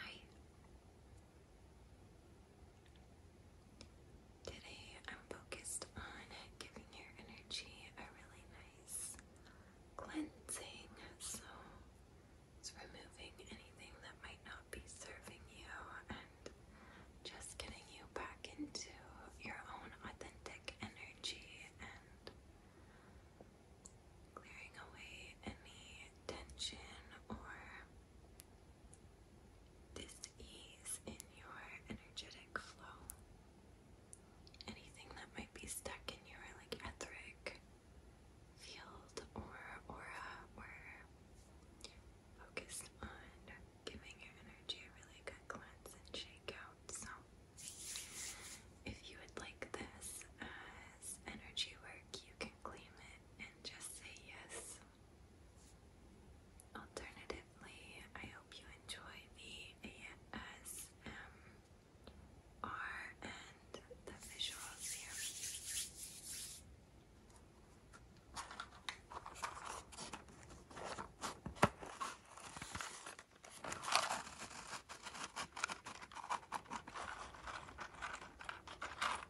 Hi. Today I'm focused on giving your energy a really nice cleansing. So it's removing anything that might not be serving you and just getting you back into your own authentic energy and clearing away any tension or dis in your energetic flow. Anything that might be stuck in your like etheric field or aura or focused on giving your energy a really good cleanse and shake out. So if you would like this as energy work, you can claim and just say yes. Alternatively, I hope you enjoy the ASMR and the visuals here.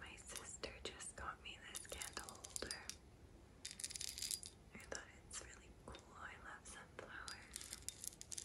My sister just got me this candle holder. I thought it's really cool. I love sunflowers. I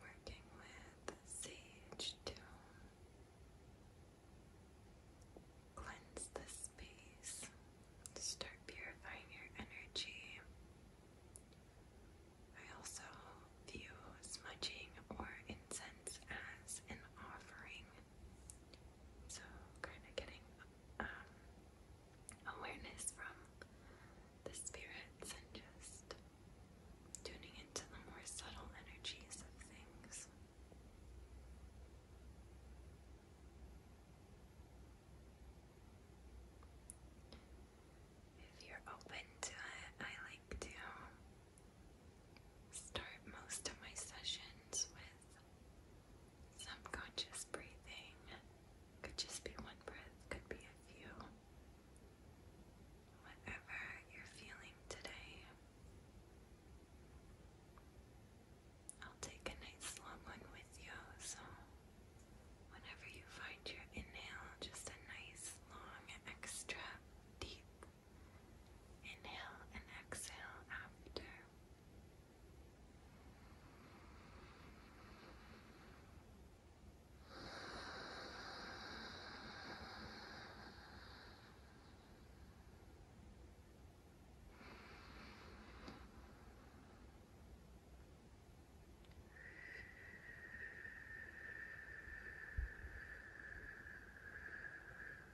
Working with sage to cleanse the space, start purifying your energy. I also view smudging or incense as an offering so, kind of getting um, awareness from the spirits and just tuning into the more subtle energies of things. If you're open to it, I like to start most of my sessions with some conscious breathing. Could just be one breath, could be a few. Whatever you're feeling today. I'll take a nice long one with you, so whenever you find your inhale, just a nice long, extra, deep Inhale and exhale after.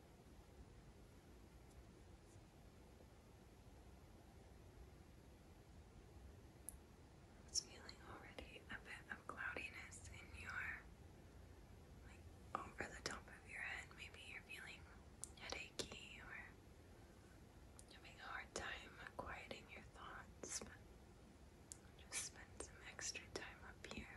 I was feeling already a bit of cloudiness in your, like, over the top of your head. Maybe you're feeling headachy or having a hard time quieting your thoughts, just spend some extra time up here.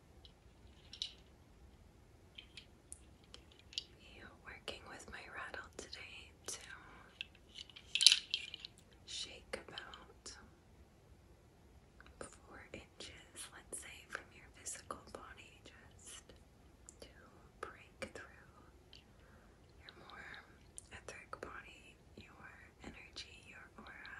you working with my rattle today to shake about four inches, let's say, from your physical body, just to break through your more etheric body, your energy, your aura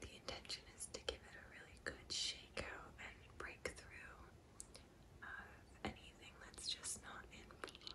the intention is to give it a really good shake out and break through anything that's just not in flow.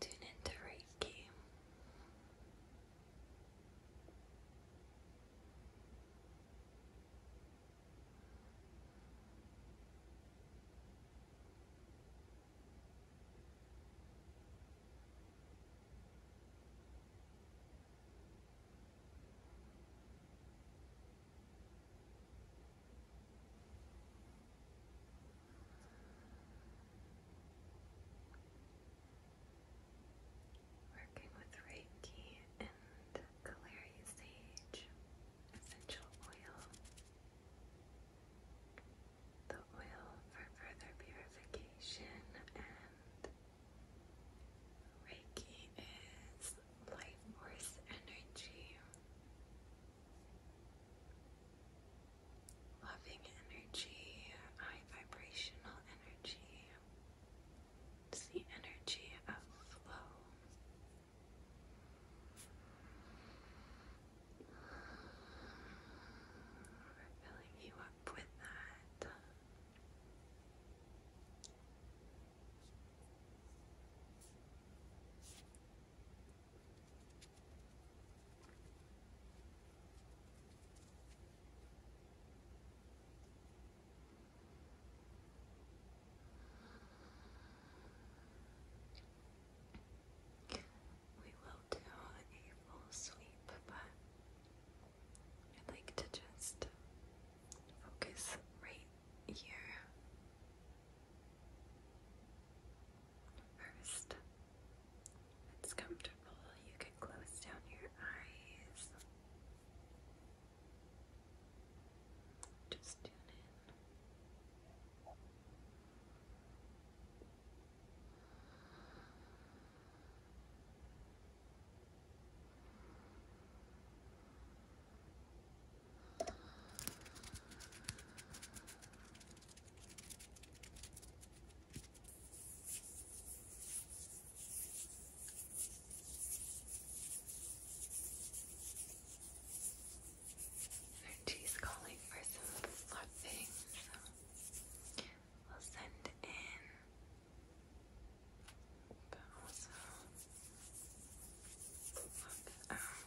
Tune into Reiki. Tune Working with Reiki and Galarian Sage essential oil. The oil for further purification and Reiki is life force energy. Loving energy, high vibrational energy. It's the energy of flow. We're filling you up with that. We will do a full sweep, but I'd like to just focus right here First, it's comfortable, you can close down your eyes. Just tune in. Energy's calling for some fluffing, so we'll send in, but also fluff um, out.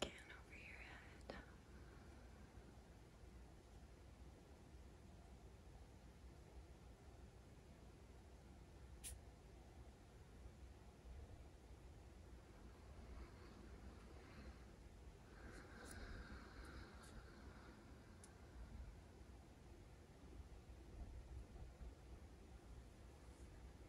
Scan over your head.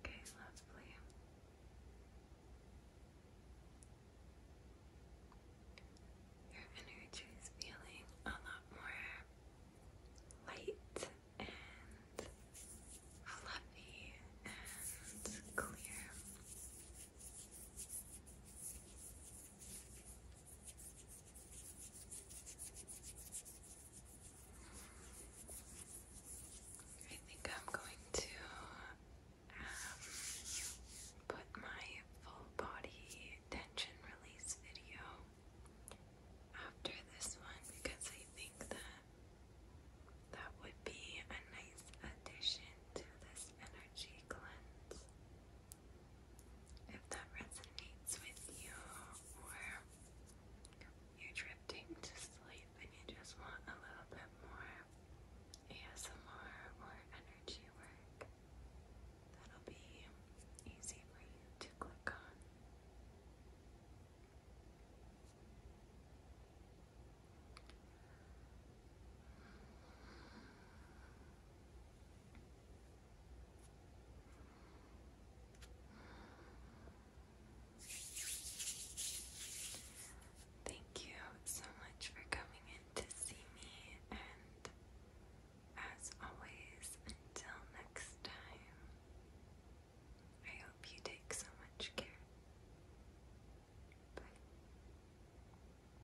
Okay, lovely. Your energy is feeling a lot more light and fluffy and clear. I think I'm going to um, put my full body tension release video after this one because I think that that would be a nice addition to this energy cleanse if that resonates with you or you're drifting to sleep and you just want a little bit more ASMR or energy work, that'll be easy for you to click on. Thank you so much for coming in to see me, and as always, until next time, I hope you take so much care. Bye.